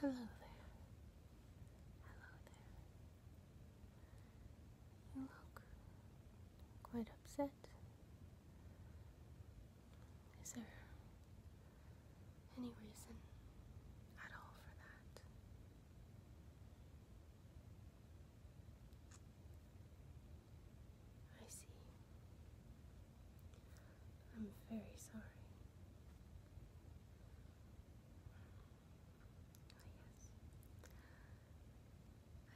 Hello there. Hello there. You look quite upset. Is there any reason at all for that? I see. I'm very sorry.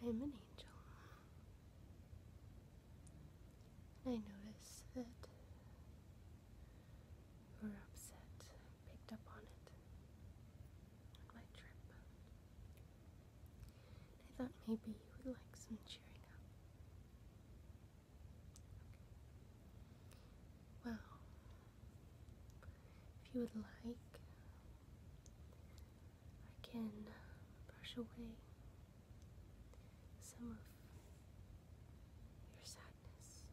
I am an angel. And I notice that you were upset. picked up on it my trip. I thought maybe you would like some cheering up. Well, if you would like, I can brush away some of your sadness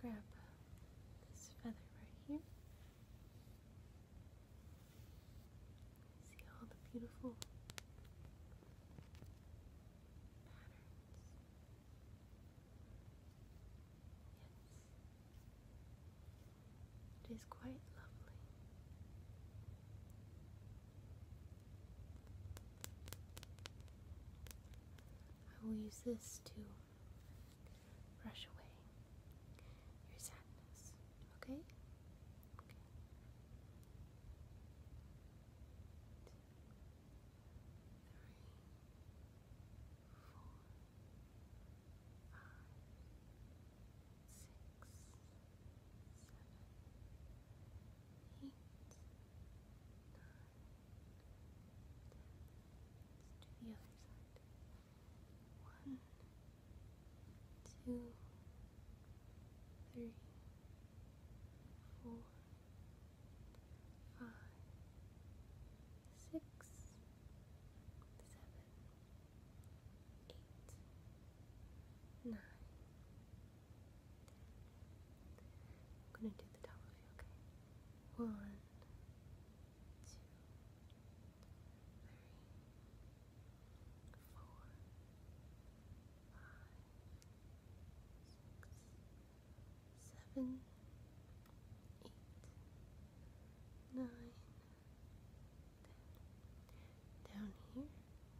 grab this feather right here. See all the beautiful patterns. Yes. It is quite lovely. I will use this to brush away your sadness, okay? do the other side. One, two, three, four, five, six, seven, eight, nine, I'm gonna do the top of you, One, two, three, four, five, six, seven, eight, nine, ten. Down here.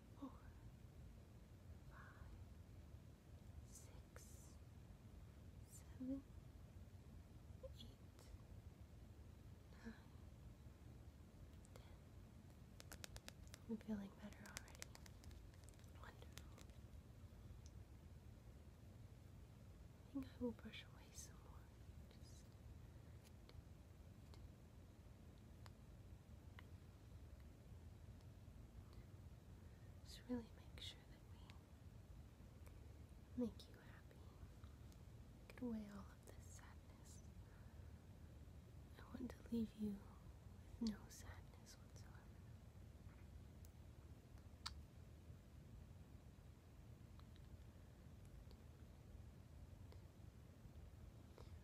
four, five, six, seven, eight, nine, ten. I'm feeling better already. Wonderful. I think I will brush away some more. Just really make sure that we make you happy. Get away all of this sadness. I want to leave you with no sadness whatsoever.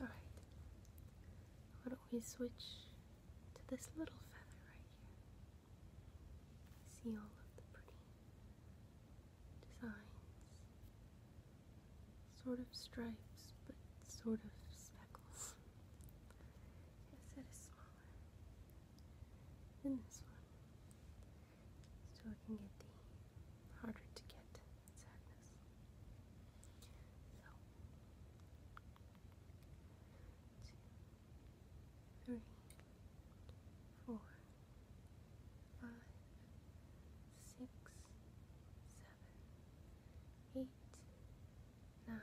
Alright, why don't we switch to this little feather right here? See all of the pretty designs, sort of stripes, but sort of speckles. Yes, it is smaller than this one. So I can get the harder to get sadness. So, two, three, four, five, six, seven, eight, nine, ten,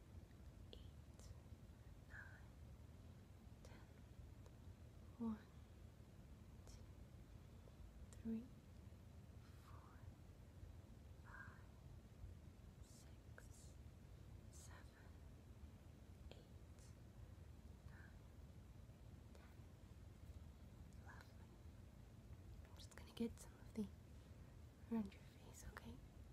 ten, one, two, three, four, five, six, seven, eight, nine, ten. Lovely. I'm just gonna get some of the around your face, okay?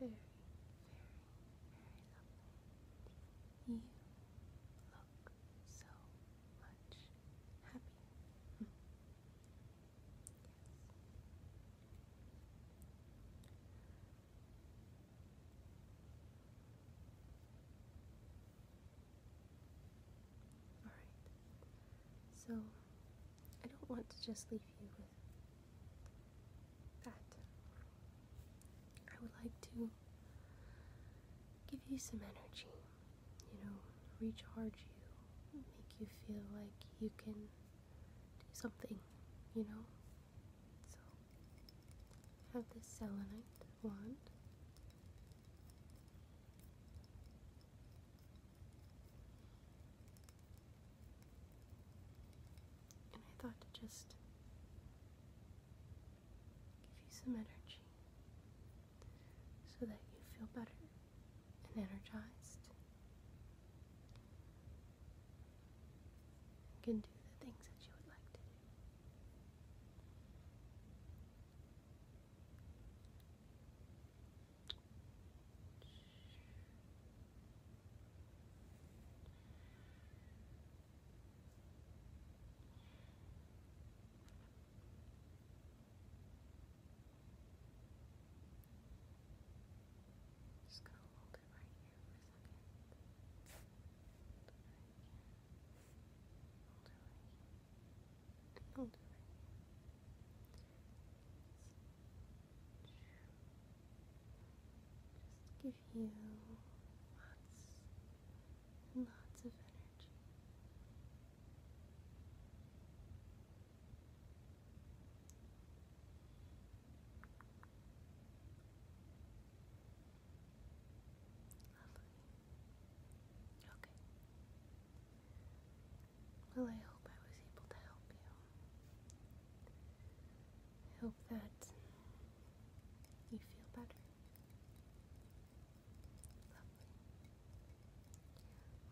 Very, very, very lovely. You look so much happy. yes. Alright. So, I don't want to just leave you with that. I would like to give you some energy, you know, recharge you, make you feel like you can do something, you know? So, have this selenite wand. And I thought to just give you some energy so that you feel better and energized. You can do the things that you would like to do. Just gonna hold it Hold it right it Just give you lots lots of energy. Well, I hope I was able to help you. hope that you feel better.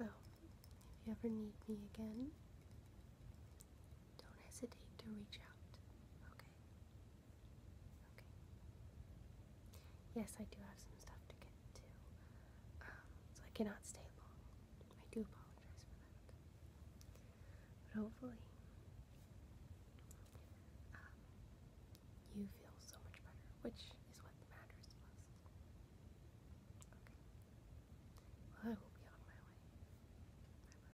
Well, if you ever need me again, don't hesitate to reach out, okay? Okay. Yes, I do have some stuff to get to, um, so I cannot stay long. I do apologize for that. But hopefully, um, you feel so much better, which is what matters most. Okay. I will be on my way.